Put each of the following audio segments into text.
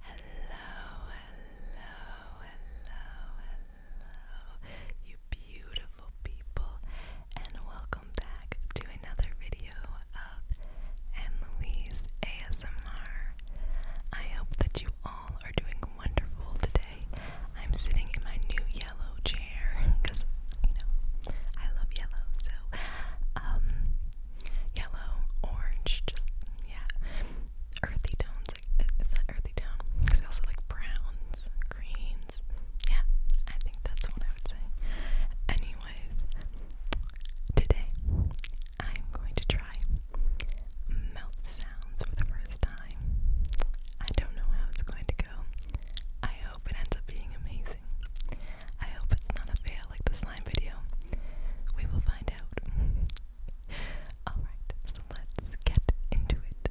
Hello, hello, hello, hello, you beautiful people, and welcome back to another video of Annalise ASMR. I hope that you all are doing wonderful today. I'm sitting in my new yellow chair because you know I love yellow. So um, yellow, orange, just yeah, earthy tones. Uh, is that earthy tone? Because I also like browns, greens. Yeah, I think that's what I would say. Anyways, today I'm going to try mouth sounds for the first time. I don't know how it's going to go. I hope it ends up being amazing. I hope it's not a fail like the slime video. We will find out. Alright, so let's get into it.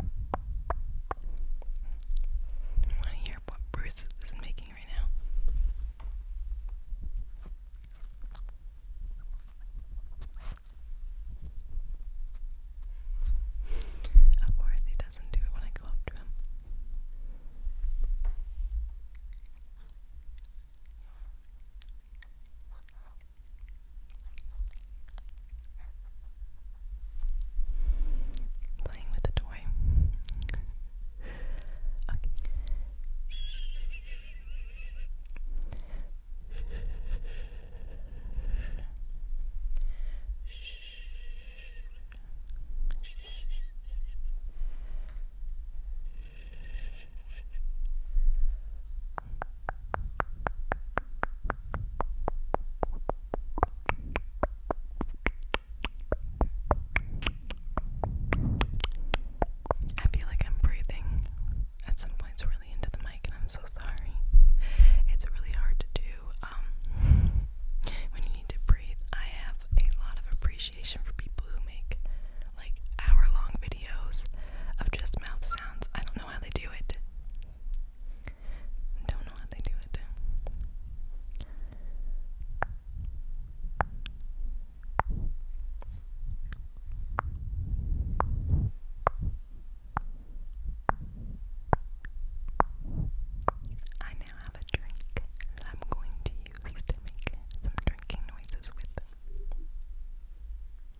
I want to hear what Bruce is making right now. Of course, he doesn't do it when I go up to him. Playing with the toy. I feel like I'm breathing at some points really into the mic, and I'm so sorry. It's really hard to do um, when you need to breathe. I have a lot of appreciation for people who make like hour long videos of just mouth sounds. I don't know know how they do it. Don't know how they do it. I now have a drink that I'm going to use to make some drinking noises with.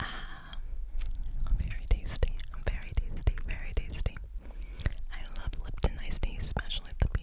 Ah, very tasty, very tasty, very tasty. I love Lipton iced tea, especially at the beach.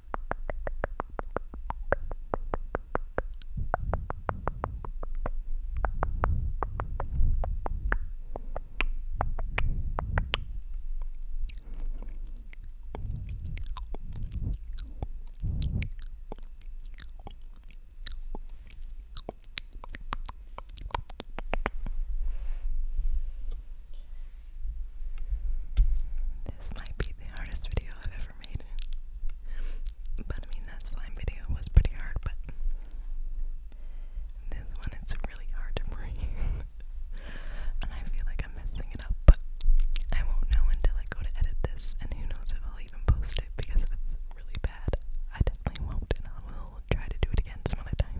This might be the hardest video I've ever made. But I mean, that slime video was pretty hard, but this one, it's really hard to breathe. and I feel like I'm messing it up, but I won't know until I go to edit this, and who knows if I'll even post it, because it's really bad, I definitely won't, and I will try to do it again some other time.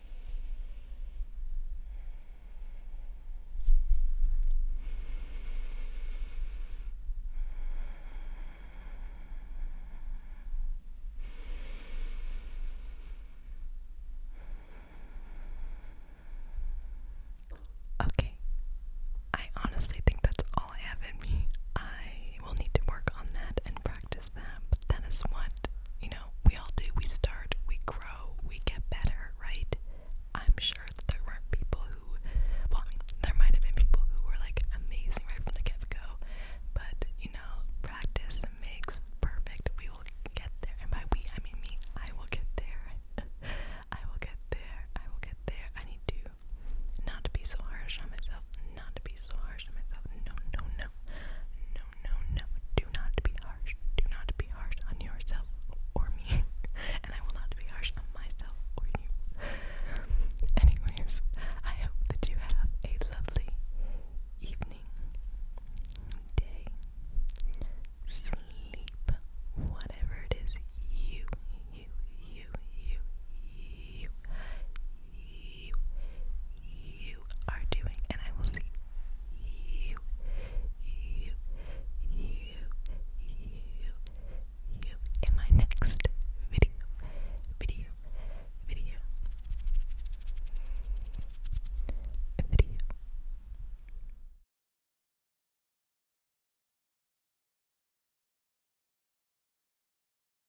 Okay, I honestly think that's all I have in me. I will need to work on that and practice as them, but what, you know, we all do. We start, we grow, we get better, right? I'm sure that there weren't people who, well, there might have been people who were like amazing right from the get go, but you know, practice makes perfect. We will get there, and by we, I mean me. I will get there. I will get there. I will get there. I need to not be so harsh on myself, not be so harsh on myself. No, no, no, no, no, no. Do not be harsh. Do not be harsh on yourself or me. and I will not be harsh on myself or you. Anyways, I hope that you have a lovely evening, day, sleep, whatever it is you, you, you, you, you, you you you are doing, and I will see you you you you you in my next video video video video.